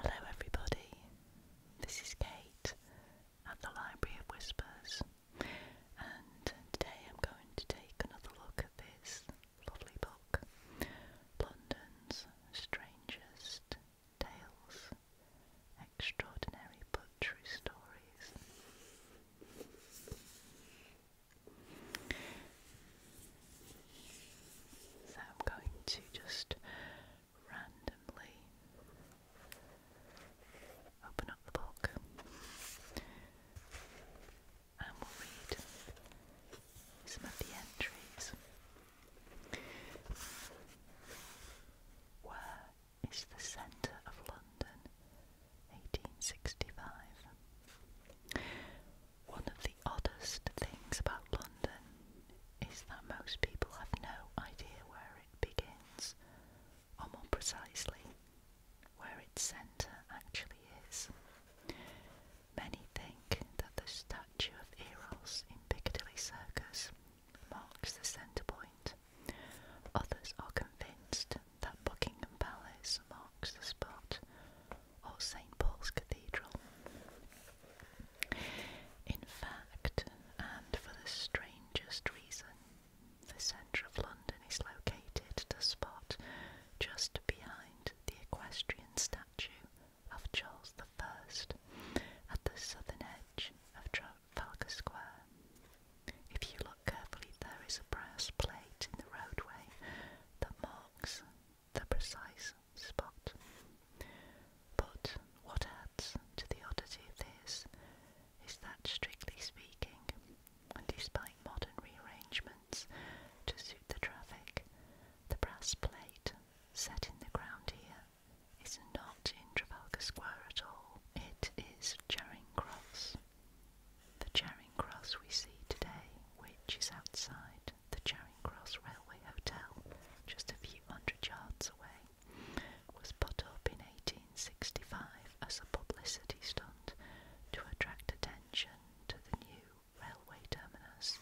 Hello, everybody. This is Kate at the Library of Whispers, and today I'm going to take another look at this lovely book London's Strangest Tales Extraordinary but True Stories. So I'm going to just randomly open up the book and we'll read some of the entries. Where is the centre of London? 1865. One of the oddest things about London is that most people have no idea where it begins, or more precisely, where its centre actually is. Many think that the statue of Eros in Piccadilly Circus marks the centre point. Others are convinced that Buckingham Palace marks the spot or St Paul's Cathedral. In fact, and for the strangest reason, the centre of London is located at a spot just behind the equestrian statue of Charles I at the southern edge of Trafalgar Square. If you look carefully, there is a brass plate in the roadway that marks the precise spot. But what adds to the oddity of this is that, strictly speaking, despite modern rearrangements to suit the traffic, the brass plate set in the ground here is not in Trafalgar Square at all. It is Charing Cross. The Charing Cross we see today, which is outside the Charing Cross Railway Hotel, just a few hundred yards away, was put up in 1865 as a publicity stunt to attract attention to the new railway terminus.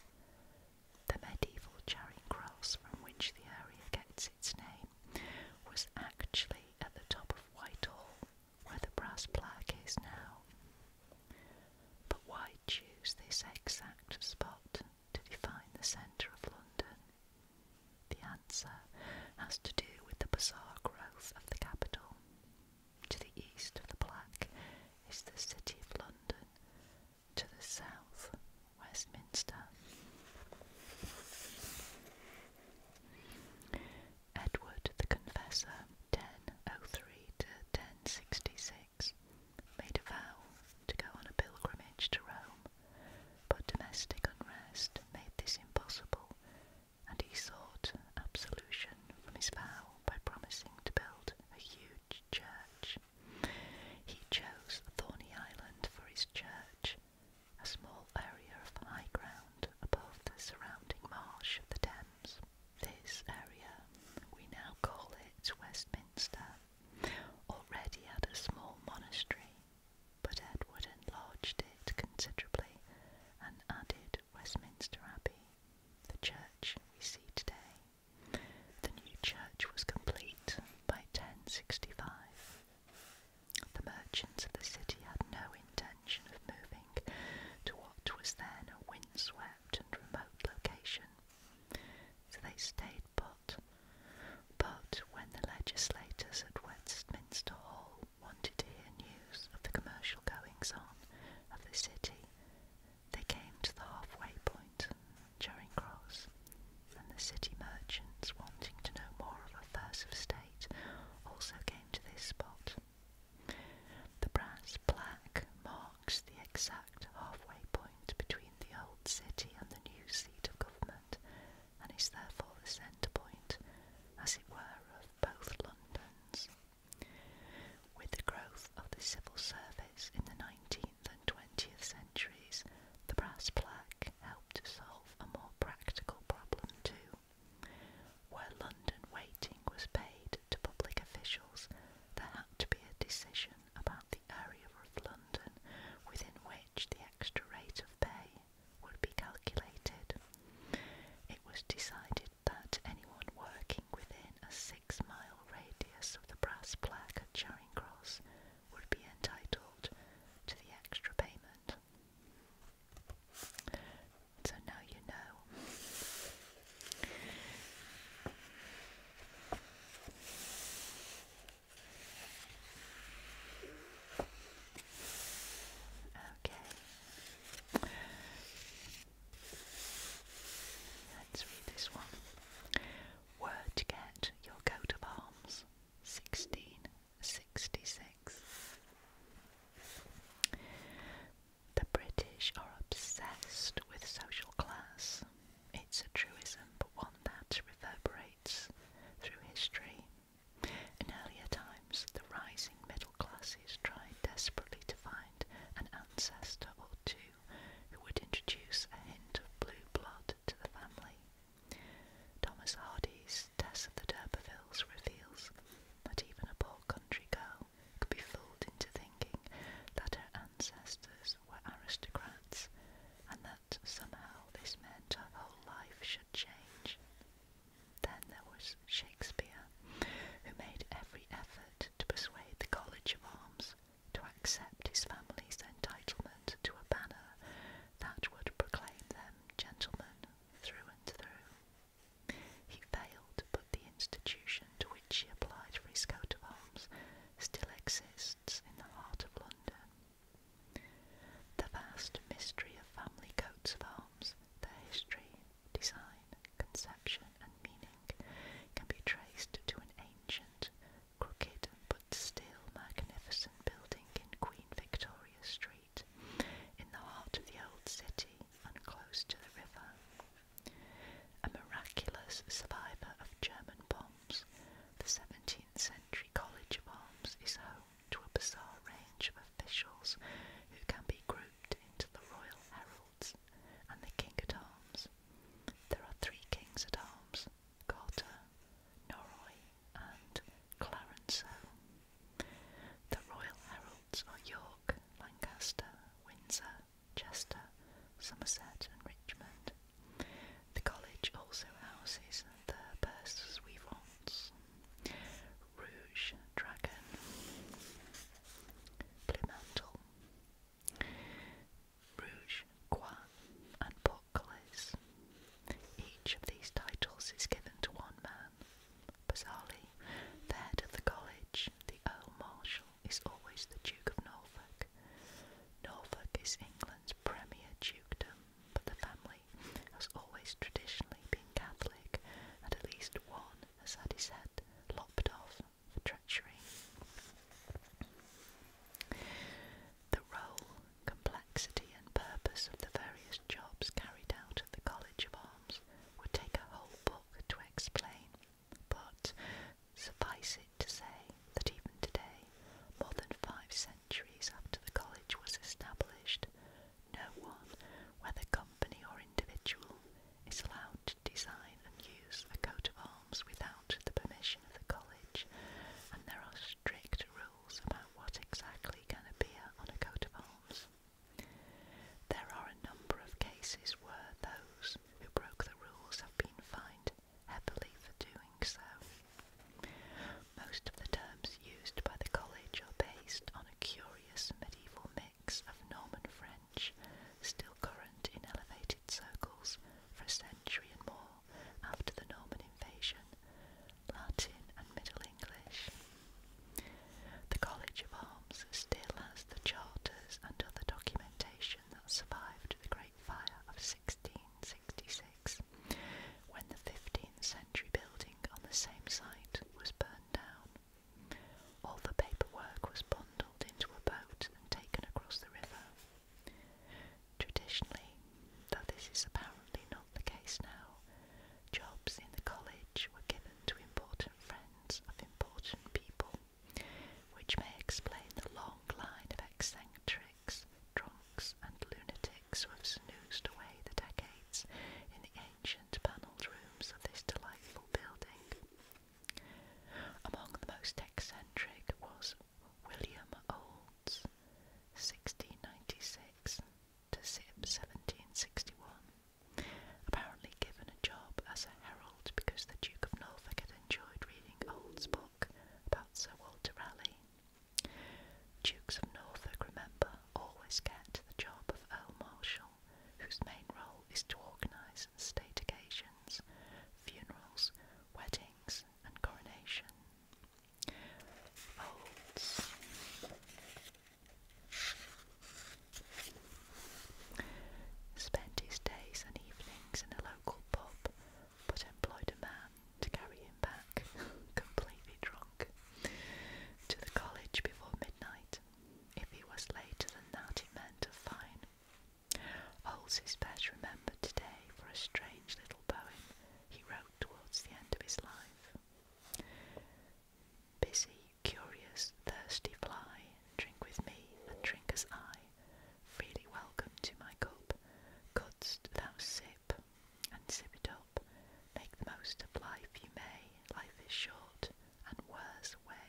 The medieval Charing Cross, from which the area gets its name, was actually at the top of Whitehall, where the brass plaque is now. But why choose this exact spot? to define the centre of London? The answer has to do with the bizarre growth of the capital. To the east of the Black is the City of London, to the south, Westminster. Edward the Confessor, 1003 to 1066, made a vow to go on a pilgrimage to Rome, but domestic unrest made this impossible, and he sought absolution from his vow by promising to build a huge church. He chose Thorny Island for his church, a small area of high ground above the surrounding marsh of the Thames. This area, we now call it Westminster already had a small monastery, but Edward enlarged it considerably and added Westminster Abbey, the church we see today. The new church was complete by 1065. The merchants of the city had no intention of moving to what was then a windswept and remote location, so they stayed but but when the legislators at Westminster Hall wanted to hear news of the commercial goings on of the city, they came to the halfway point, Charing Cross, and the city merchants wanting to know more of affairs of state also came to this spot. The brass plaque marks the exact halfway point between the old city and the new seat of government, and is therefore the centre point, as it were, of both Londons. With the growth of the civil service in the 19th and 20th centuries, the brass plaque helped to solve a more practical problem too. Where London waiting was paid to public officials, there had to be a decision about the the area of London within which the extra rate of pay would be calculated. It was decided that anyone working within a six mile radius of the brass plaque at Charing Cross would be entitled to the extra payment. So now you know. Okay. Let's read this one. Where to get your coat of arms? 1666. The British are obsessed with social class. It's a truism, but one that reverberates through history. In earlier times, the rising middle classes tried desperately to find an ancestor or two who would introduce a hint of blue blood to the family. Thomas Hardy's Tess of the D'Urbervilles reveals that even a poor country girl could be fooled into thinking that her ancestors parents were aristocrats and that somehow this meant her whole life should change. Then there was Shakespeare, who made every effort to persuade the College of Arms to accept his family's entitlement to a banner that would proclaim them gentlemen through and through. He failed, but the institution to which he applied for his coat of arms still exists in the heart of London. The vast mystery of family coats of arms, the history, design, conception, and meaning can be traced to an ancient, crooked but still magnificent building in Queen Victoria Street, in the heart of the old city and close to the river. A miraculous survivor of German bombs. The 17th century College of Arms is home to a bizarre range of officials who can be grouped into the Royal Heralds and the King at Arms. There are three Kings at Arms Carter, Norroy, and Clarence. The Royal Heralds are York, Lancaster, Windsor, Chester, Somerset, and Richmond. The college also houses the Perse Rouge Dragon, Plimantle, Rouge Croix, and Portcullis. Each of these titles is given to one man. Bizarrely, head of the college, the Earl Marshal, is always the Duke of Norfolk. Norfolk is England premier dukedom, but the family has always traditionally been Catholic, and at least one has had his head lopped off for treachery. The role, complexity, and purpose of the various jobs carried out at the College of Arms would take a whole book to explain, but Suffice it to say that even today, more than five centuries after the college was established, no one, whether company or individual, is allowed to design and use a coat of arms without the permission of the college, and there are strict rules about what exactly can appear on a coat of arms. There are a number of cases where those who broke the rules have been fined heavily for doing so. Most of the terms used by the college are based on a curious medieval mix of Norman French, still current in elevated circles for a century and more after the Norman invasion, Latin and Middle English. The College of Arms still has the charters and other documentation that survived the Great Fire of 1666 when the 15th century building on the same site was burned down. All the paperwork was bundled into a boat and taken across the river. Traditionally, though this is apparently not the case now, jobs in the college were given to important friends of important people, which may explain the long line of eccentric drunks, and lunatics who have snoozed away the decades in the ancient panelled rooms of this delightful building. Among the most eccentric was William Olds, 1696 to 1761, apparently given a job as a herald because the Duke of Norfolk had enjoyed reading Oldsboro about Sir Walter Raleigh. Dukes of Norfolk, remember, always get the job of Earl Marshal, whose main role is to organise state occasions, funerals, weddings, and coronation. Folds. Spent his days and evenings in a local pub but employed a man to carry him back, completely drunk, to the college before midnight. If he was later than that, it meant a fine. Holz's best remembered today for a strange little poem he wrote towards the end of his life. Busy, curious, thirsty fly, drink with me and drink as I, freely welcome to my cup. Couldst thou sip and sip it up, make the most of life you may. Life is short and wears away.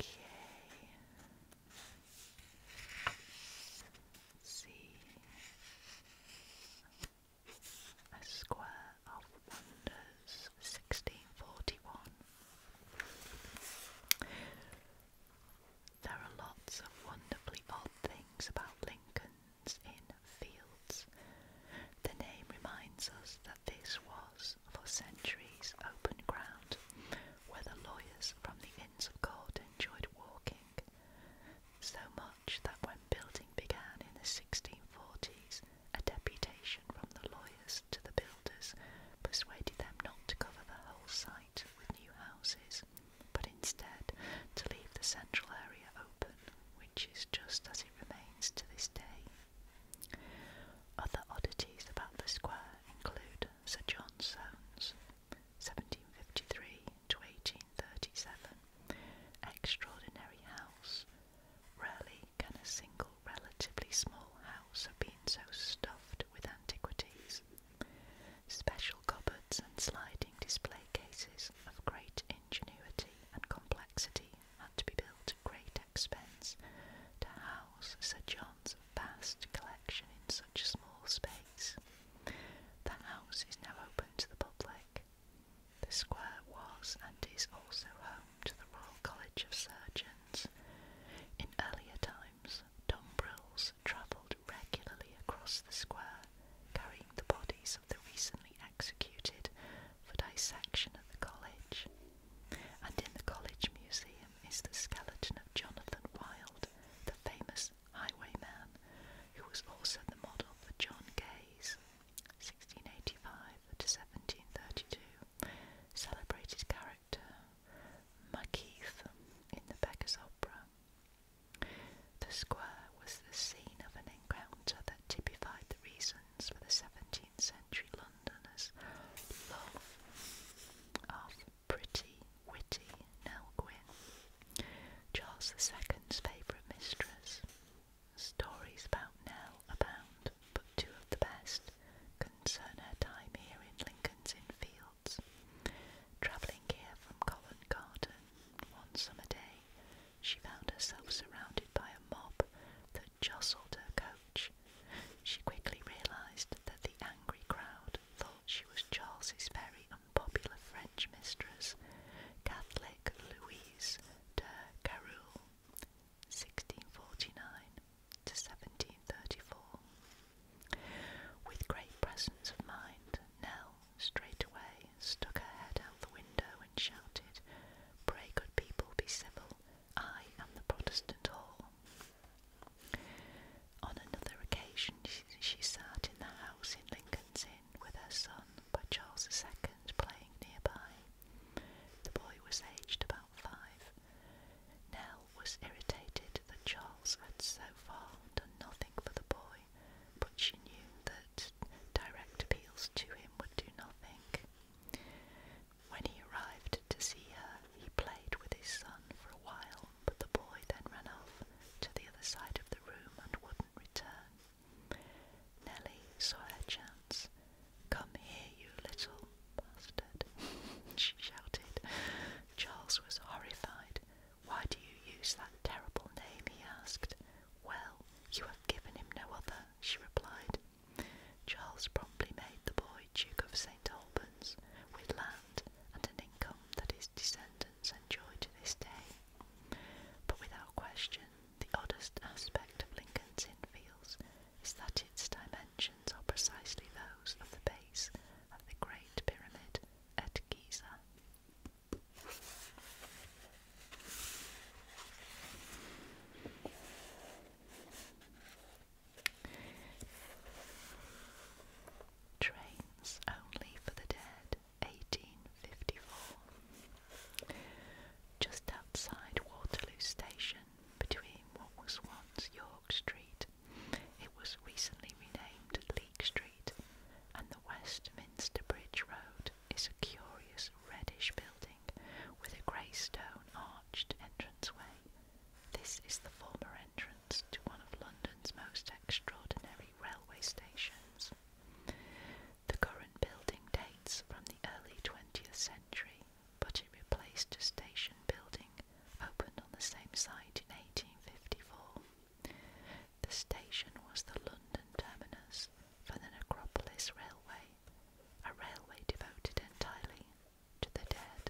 Okay. see. A square of wonders was 1641. There are lots of wonderfully odd things about Lincoln's Inn Fields. The name reminds us that this was, for centuries, open ground where the lawyers from the Inns of Court enjoyed walking, so much that when building began in the 1640s, a deputation from the lawyers to the builders persuaded them not to cover the whole site with new houses, but instead to leave the central area open, which is just as it remains to this day. Other oddities about the square include Sir John Soane's 1753 1837 extraordinary house Rarely can a single relatively small house have been so stuffed with antiquities. Special cupboards and sliding display cases of great ingenuity and complexity had to be built at great expense to house Sir John's vast collection in such a small space. The house is now open to the public. The square was and is also home to the Royal College of Surgeons. In earlier times, Dombrils travelled regularly across the square, carrying the bodies of the recently executed for dissection at the college. And in the college museum is the skeleton of Jonathan Wild, the famous highwayman, who was also the model for John Gay's 1685 to 1732 celebrated character Macheath in the Beggar's Opera. The square was the scene of an encounter that typified the reasons for the 17th century Londoners' love of pretty, witty Nell Gwynn, Charles II's favourite mistress. Stories about Nell abound but two of the best, concern her time here in Lincoln's Inn Fields. Travelling here from Covent Garden one summer day, she found herself surrounded by a mob that jostled her coach. She quickly realised that the angry crowd thought she was Charles's very unpopular French mistress, Catholic Louise de Caroul, 1649 to 1734. With great presence of mind, Nell straightway stuck her head out the window and shouted, Pray, good people, be civil. I am the Protestant Hall. On another occasion, she, sat in the house in Lincoln's Inn with her son by Charles II playing nearby. The boy was aged about about five. Nell was irritated that Charles had so far done nothing for the boy, but she knew that direct appeals to him would do nothing. When he arrived to see her, he played with his son for a while, but the boy then ran off to the other side of the room and wouldn't return. Nellie saw her chance Come here, you little bastard, she shouted. Charles was horrified. Why do you use that terrible name? he asked. Well, you have given him no other, she replied. Charles promptly made the boy Duke of St. Albans, with land and an income that his descendants enjoy to this day. But without question, the oddest aspect of Lincoln's Inn Fields is that its dimensions are precisely those of the base of the Great Pyramid at Giza. Trains only for the dead, 1854. Just outside Waterloo Station between what was once York Street, it was recently renamed Leek Street, and the Westminster Bridge Road is a curious reddish building with a grey stone arched entranceway. This is the former entrance to one of London's most extraordinary railway stations. The current building dates from the early 20th century but it replaced a station building opened on the same site in 1854. The station was the London terminus for the Necropolis Railway, a railway devoted entirely to the dead.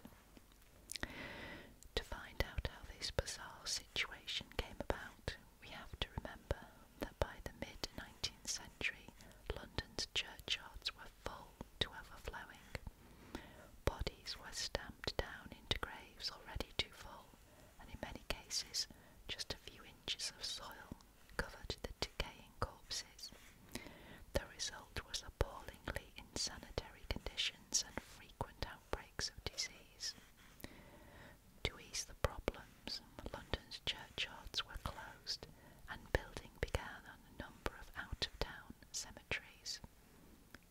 To find out how this bizarre situation came about, we have to remember that by the mid 19th century, London's churchyards were full to overflowing. Bodies were stamped down into graves already too full, and in many cases, just a few inches of soil covered the decaying corpses. The result was appallingly insanitary conditions and frequent outbreaks of disease. To ease the problems, London's churchyards were closed and building began ran a number of out-of-town cemeteries,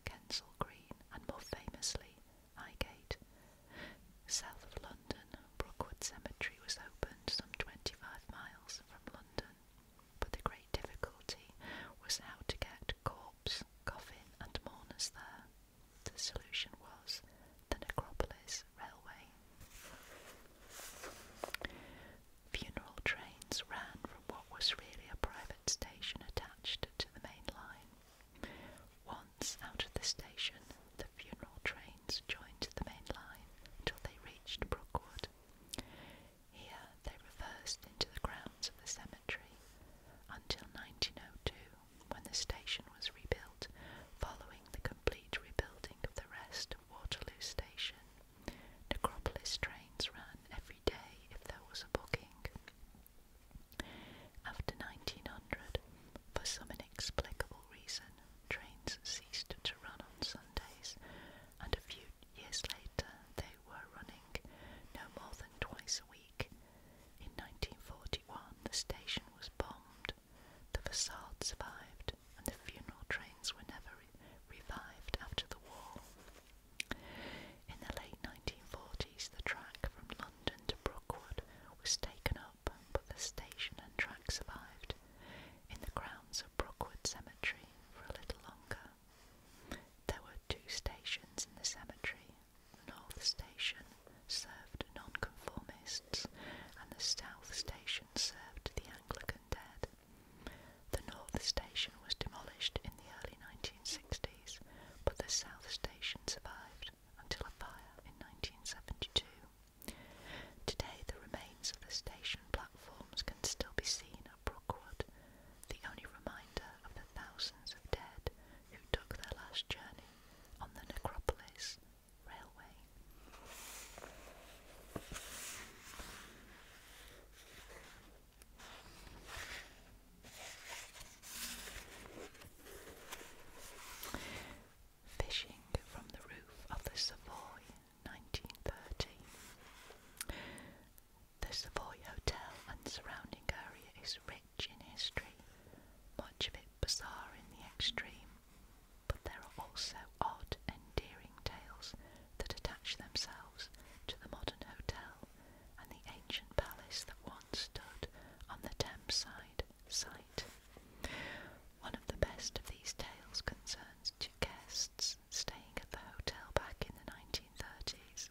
Kensal Green and more famously Highgate. South of London, Brookwood Cemetery was opened some 25 miles from London, but the great difficulty was how to get corpse, coffin and mourners there. The solution was the Necropolis Railway. Funeral trains ran from what was really a private station attached to the main line. Once out of the station, the funeral trains joined the main line until they reached Brookwood. Here they reversed into the grounds of the cemetery until 1902, when the station was rebuilt following the complete rebuilding of the rest of Waterloo Station Necropolis trains ran every day if there was a booking. After 1900, for some inexplicable reason, trains ceased to run on Sundays, and a few years later they were running no more than twice a week. In 1941, the station was bombed. The facade survived, and the funeral trains were never revived after the war. In the late 1940s, the track from London to Brookwood was taken up, but the station and track survived in the grounds of Brookwood Cemetery for a little longer. There were two stations in the cemetery. The North Station served nonconformists, and the South Station served the Anglican dead. The north station was demolished in the early 1960s, but the south station survived until a fire in 1972. Today, the remains of the station platforms can still be seen at Brookwood, the only reminder of the thousands of dead who took their last journey on the necropolis railway. Fishing from the roof of the Savoy, 1930. The Savoy Hotel and surrounding area is rich in history, much of it bizarre in the extreme, but there are also odd, endearing tales that attach themselves to the modern hotel and the ancient palace that once stood on the Thames side site. One of the best of these tales concerns two guests staying at the hotel back in the 1930s.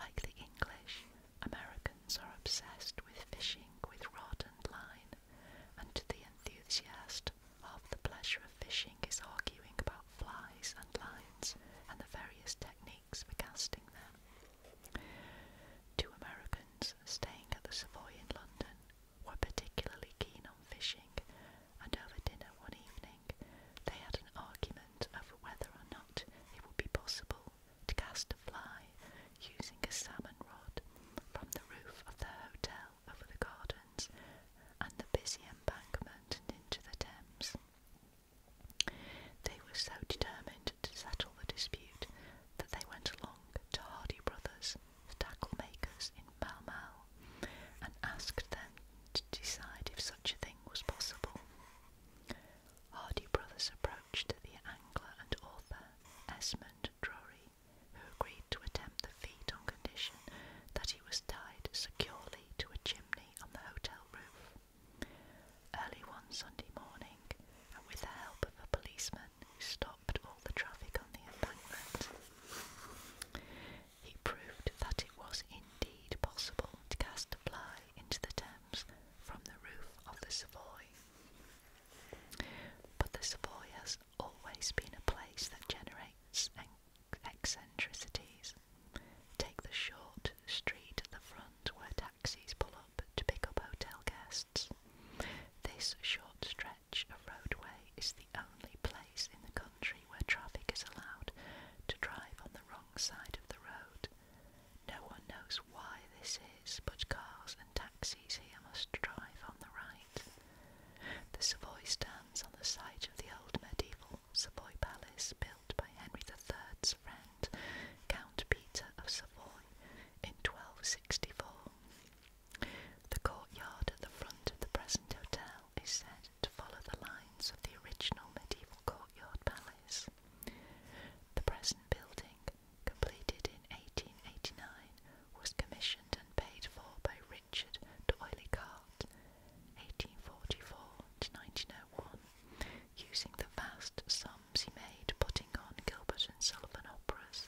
Like the English, Americans are obsessed with fishing with rod and line, and to the enthusiast, Half the pleasure of fishing is arguing about flies and lines and the various techniques for casting them. Two Americans staying at the Savoy in London were particularly keen on fishing, and over dinner one evening they had an argument over whether or not it would be possible to cast a fly using a salmon rod from the roof of their hotel over the gardens and the busy embankment and into the Thames. They were so determined to settle the dispute that they went along to Hardy Brothers, the tackle makers in Pall Mall, and asked them to decide if such a thing was possible. Hardy Brothers approached the angler and author Esmond Drury, who agreed to attempt the feat on condition that he was tied securely to a chimney on the hotel roof. Early one Sunday morning, and with the help of a policeman who stopped all the traffic on the embankment, he proved that it was indeed possible to cast a fly into the Thames from the roof of the Savoy. But the Savoy has always been a place that generates eccentricities. Take the short street at the front where taxis pull up to pick up hotel guests. This short stretch of roadway is the only place in the country where traffic is allowed to drive on the wrong side of the road. No one knows why this is, but cars and taxis here must drive on the right. The Savoy style on the site of the old medieval Savoy palace built by Henry III's friend, Count Peter of Savoy, in 1264. The courtyard at the front of the present hotel is said to follow the lines of the original medieval courtyard palace. The present building, completed in 1889, was commissioned and paid for by Richard Doyley Cart, 1844 to 1901, using the vast sums he made putting on Gilbert and Sullivan operas.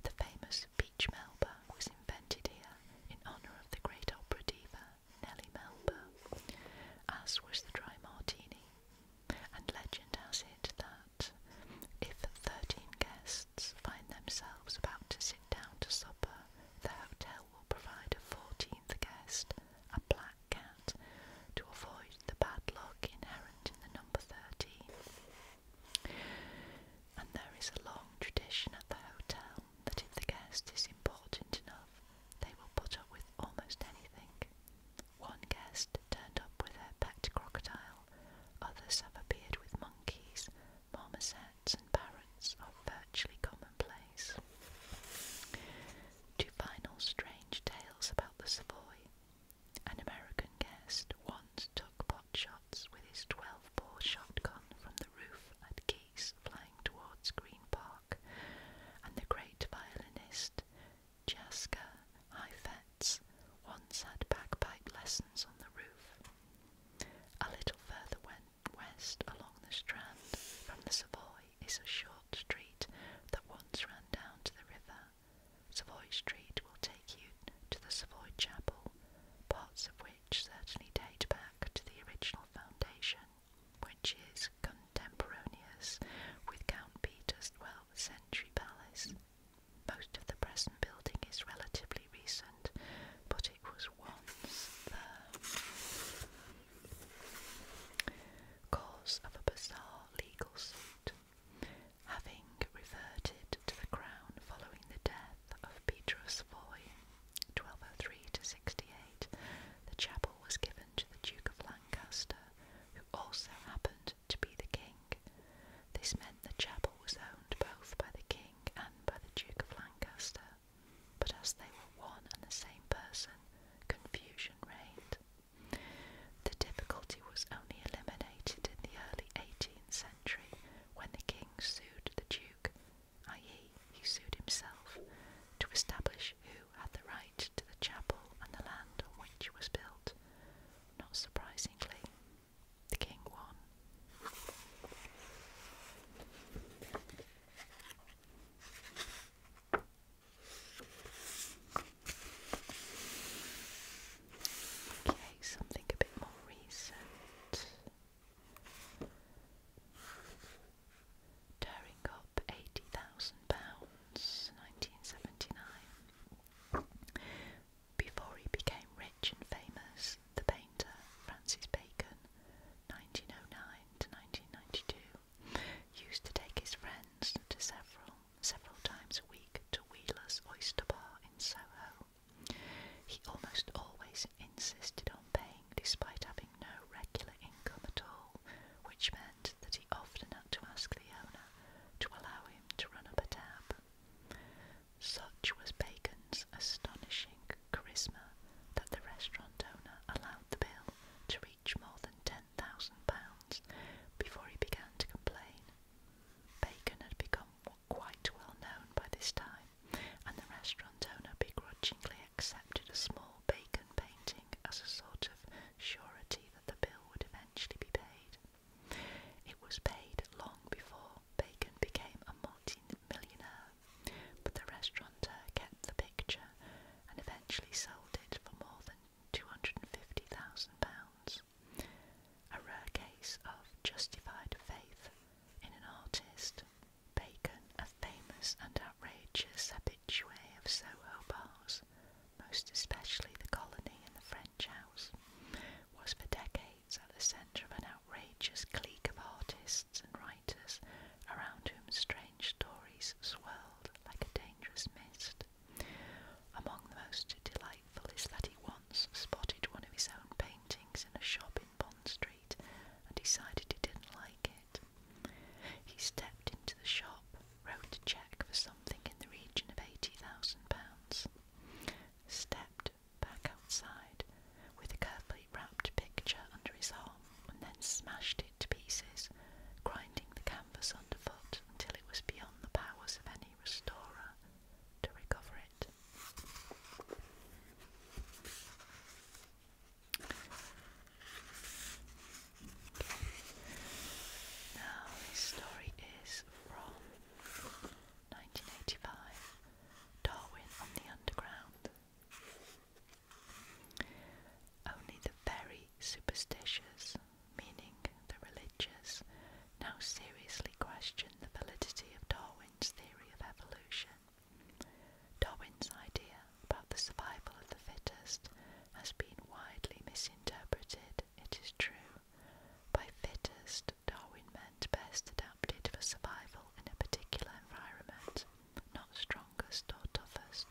The famous Peach Melba was invented here in honour of the great opera diva Nellie Melba, as was the dry martini, and legend has it that if thirteen guests find themselves about to sit down to supper, the hotel provide a fourteenth guest, a black cat, to avoid the bad luck inherent in the number thirteen. And there is a long tradition at the hotel that if the guest is important enough, they will put up with almost anything. One guest turned up with her pet crocodile, others have appeared with monkeys, marmosets, and parents are virtually commonplace. To final strange tales about the Savoy, an American guest once took pot with his 12 bore shotgun from the roof at geese flying towards Green Park, and the great violinist Jaska Heifetz once had bagpipe lessons on the roof. A little further went West along the Strand from the Savoy is a short street that once ran down to the river. Savoy Street will take you to the Savoy Chapel, parts of which certainly date back to the original foundation, which is contemporaneous with Count Peter's 12th century palace. Most of the present building is relatively recent, but it was one's the cause of a bizarre legal suit, having reverted to the Crown following the death of Petrus Foy, 1203 to 68. The chapel was given to the Duke of Lancaster, who also happened to be the king. This meant the chapel was owned both by the king and by the Duke of Lancaster but as they were one and the same person, confusion reigned. The difficulty was only eliminated in the early 18th century when the king sued the duke, i.e., he sued himself, to establish who had the right to the chapel and the land on which it was built. Not surprisingly, the king won. Okay, something a bit more recent. Tearing up eighty thousand pounds, nineteen seventy nine. Before he became rich and famous, the painter Francis Bacon, 1909 to 1992, used to take his friends to several several times a week to Wheeler's Oyster Bar in Soho. He almost always insisted on paying despite having no regular income at all, which meant that he often had to ask the owner to allow him to run up a tab. Such was Bacon's astonishing charisma that the restaurant owner allowed the bill to reach more than £10,000 before he began to complain. Bacon had become quite well known by this time, and the restaurant owner begrudgingly accepted a small bacon painting as a sort of surety that the bill would eventually be paid. It was paid long before Bacon became a multi millionaire, but the restaurateur kept the picture and eventually sold it for more than £250,000, a rare case of justified faith in an artist. Bacon, a famous and outrageous habitué of Soho bars, most especially the colony and the French house, was for decades at the centre of an outrageous clique of artists and writers around whom strange stories swirled like a dangerous mist. Among the most delightful is that he once spotted one of his own paintings in a shop in Bond Street and decided he didn't like it. He stepped into the shop, wrote a cheque for something in the region of £80,000, stepped back outside, with a carefully wrapped picture under his arm, and then smashed it to pieces, grinding the canvas underfoot until it was beyond the powers of any restorer to recover it. Now, this story is from 1985 Darwin on the Underground. Only the very superstitious, meaning the religious, now seriously question the validity of Darwin's theory of evolution. Darwin's idea about the survival of the fittest has been widely misinterpreted, it is true. By fittest, Darwin meant best adapted for survival in a particular environment not strongest or toughest.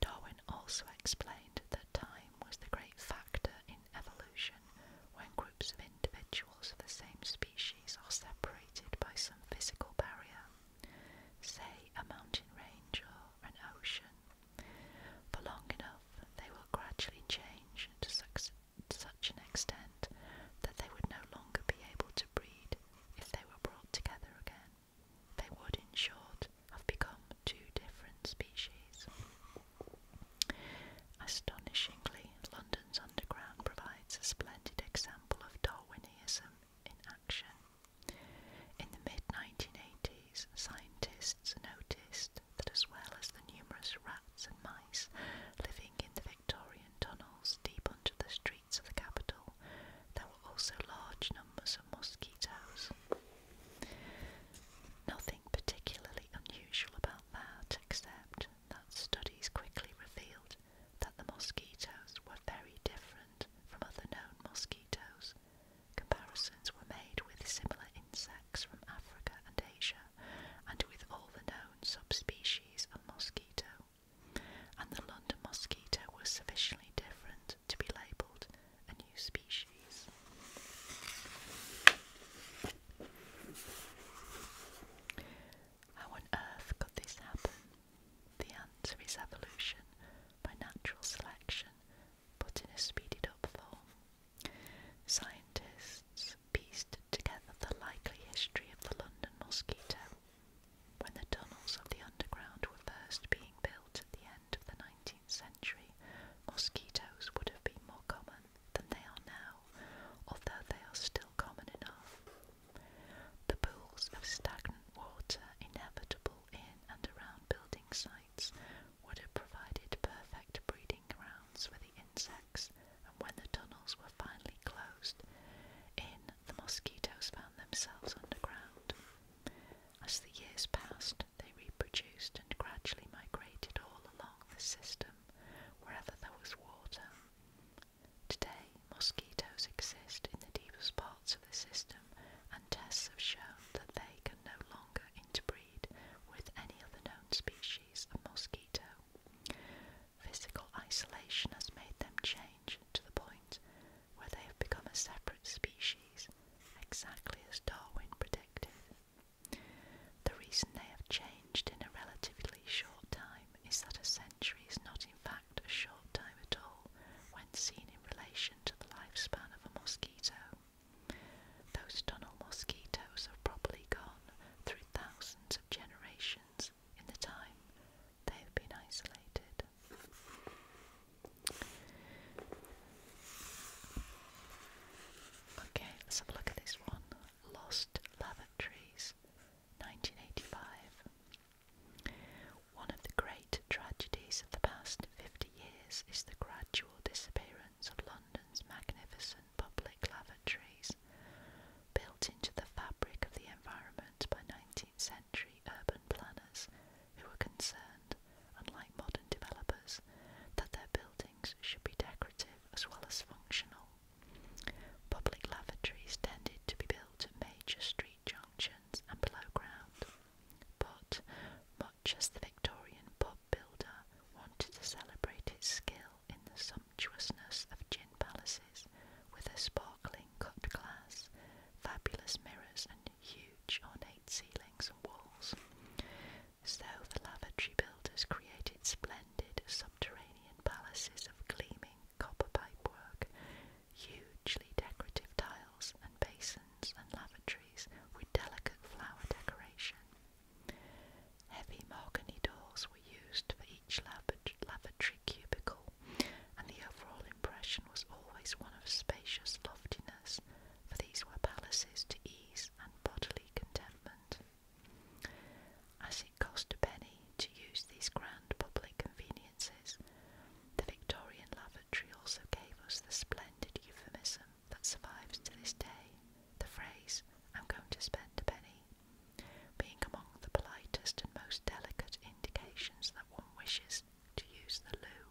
Darwin also explained that time was the great factor in evolution when groups of individuals of the same species are separated by some physical barrier, say a mountain range or an ocean. For long enough, they will gradually change to such, an extent that they would no longer be able to breed if they were brought together again, they would, in short, have become two different species. Astonishingly, London's Underground provides a splendid example of Darwinism in action. In the mid 1980s, scientists noticed that as well as the numerous rats and mice living in the Victorian tunnels deep under the street, of the capital, there were also large numbers of mosquitoes. Nothing particularly unusual about that, except that studies quickly revealed that the mosquitoes were very different from other known mosquitoes. Comparisons were made with similar insects from Africa and Asia, and with all the known subspecies of mosquito and the London mosquito was sufficiently different to be labelled a new species. How on earth could this happen? The answer is evolution by natural selection, but in a speeded up form. Scientists pieced together the likely history of the London mosquito when the tunnels of the underground were first being built at the end of the 19th century, mosquitoes would have been more common than they are now, although they are still common enough. The pools of stagnant water inevitable in and around building sites would have provided perfect breeding grounds for the insects when the tunnels were finally closed in, the mosquitoes found themselves underground. As the years passed, they reproduced and gradually migrated all along the system wherever there was water. Today, mosquitoes exist in the deepest parts of the system, and tests have shown that they can no longer interbreed with any other known species of mosquito. Physical isolation has made them change to the point where they have become a separate species, exactly as Darwin predicted. The reason they have changed in a relatively short time is that a century is not, in fact, a short time at all when seen in relation to the lifespan of a mosquito. Those tunnel mosquitoes have probably gone through thousands of generations in the time they have been isolated. Okay, let's have a look at this one. Lost Lavatories, 1985. One of the great tragedies of the past 50 years is the gradual disappearance of London's magnificent public lavatories. Built into the fabric of the environment by 19th century urban planners who were concerned, unlike modern developers, that their buildings should be decorative as well as functional. Public lavatories tended to be built at major street junctions and below ground, but much as the Victorian pub builder wanted to celebrate his skill in the sumptuousness of gin palaces, with their sparkling cut glass, fabulous mirrors, and huge ornate ceilings and walls, as though the lavatory builders created splendid subterranean palaces of gleaming copper pipework, hugely decorative tiles and basins and lavatories with delicate flower decoration. Heavy mahogany doors used for each lavatory cubicle, and the overall impression was always one of spacious loftiness, for these were palaces to ease and bodily contentment. As it cost a penny to use these grand public conveniences, the Victorian lavatory also gave us the splendid euphemism that survives to this day the phrase, I'm going to spend a penny being among the politest and most delicate indications that one wishes to use the loo.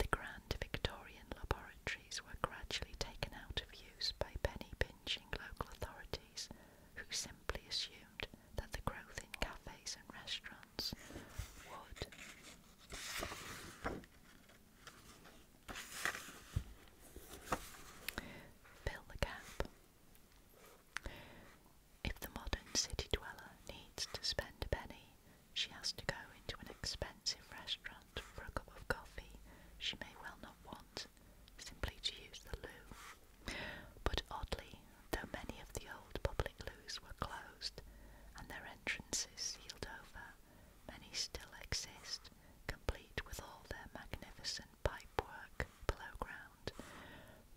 The grand Victorian laboratories were gradually taken out of use by penny pinching local authorities who simply assumed that the growth in cafes and restaurants would. Fill the gap. If the modern city dweller needs to spend a penny, she has to go into an expensive restaurant for a cup of coffee she may well not want, simply to use the loo. But oddly, though many of the old public loos were closed and their entrances sealed over, many still exist, complete with all their magnificent pipework below ground,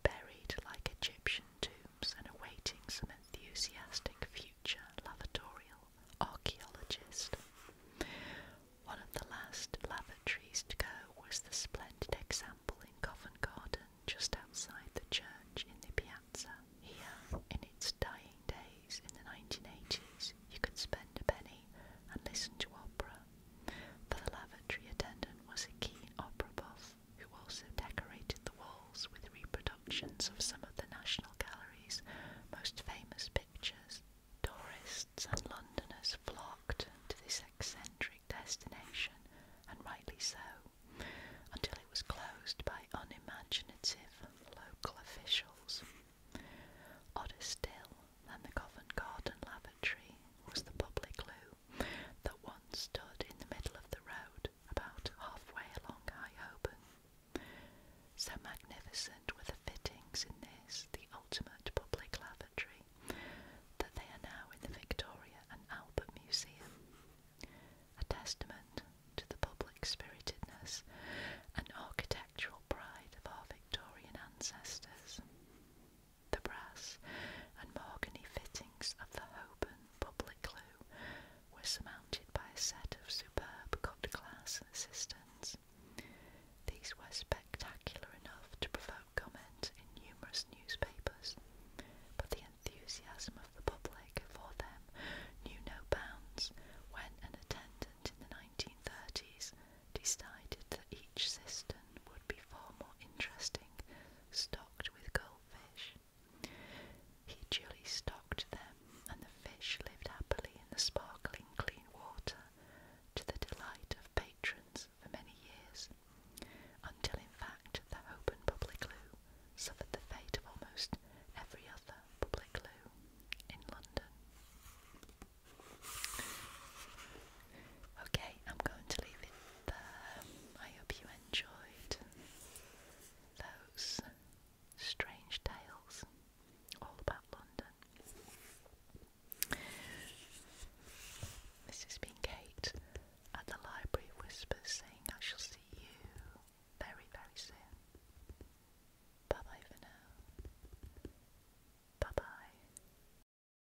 buried like Egyptian tombs and awaiting some enthusiastic future lavatorial archaeologist. One of the last lavatories to go was the splendid example in Covent Garden just outside the church in the piazza. Here, in its dying days in the 1980s, you could spend a penny and listen to opera for the lavatory attendant was a keen opera buff who also decorated the walls with reproductions of some of the National Gallery's most famous pictures. Tourists and Londoners flocked to this eccentric destination, and rightly so, until it was closed by unimaginative local officials. Odder still than the Covent Garden lavatory was the public loo that once stood in the middle of the road, about halfway along High Holborn. So magnificent were the fittings in this, the ultimate public lavatory, that they are now in the Victoria and Albert Museum. A testament to the public spiritedness and architectural pride of our Victorian ancestors the brass and mahogany fittings of the Holborn public loo were surmounted by a set of superb cut glass cisterns. These were spectacular enough to provoke comment in numerous newspapers, but the enthusiasm of the public for them knew no bounds when an attendant in the 1930s decided that he each cistern would be far more interesting stocked with goldfish. He duly stocked them, and the fish lived happily in the sparkling clean water to the delight of patrons for many years, until in fact the Hoban Public Loo suffered the fate of almost every other public loo in London. Okay, I'm going to leave it there. I hope you enjoyed those strange tales all about London. This has been Kate at the Library of Whispers saying I shall see you very, very soon. Bye bye for now. Bye bye.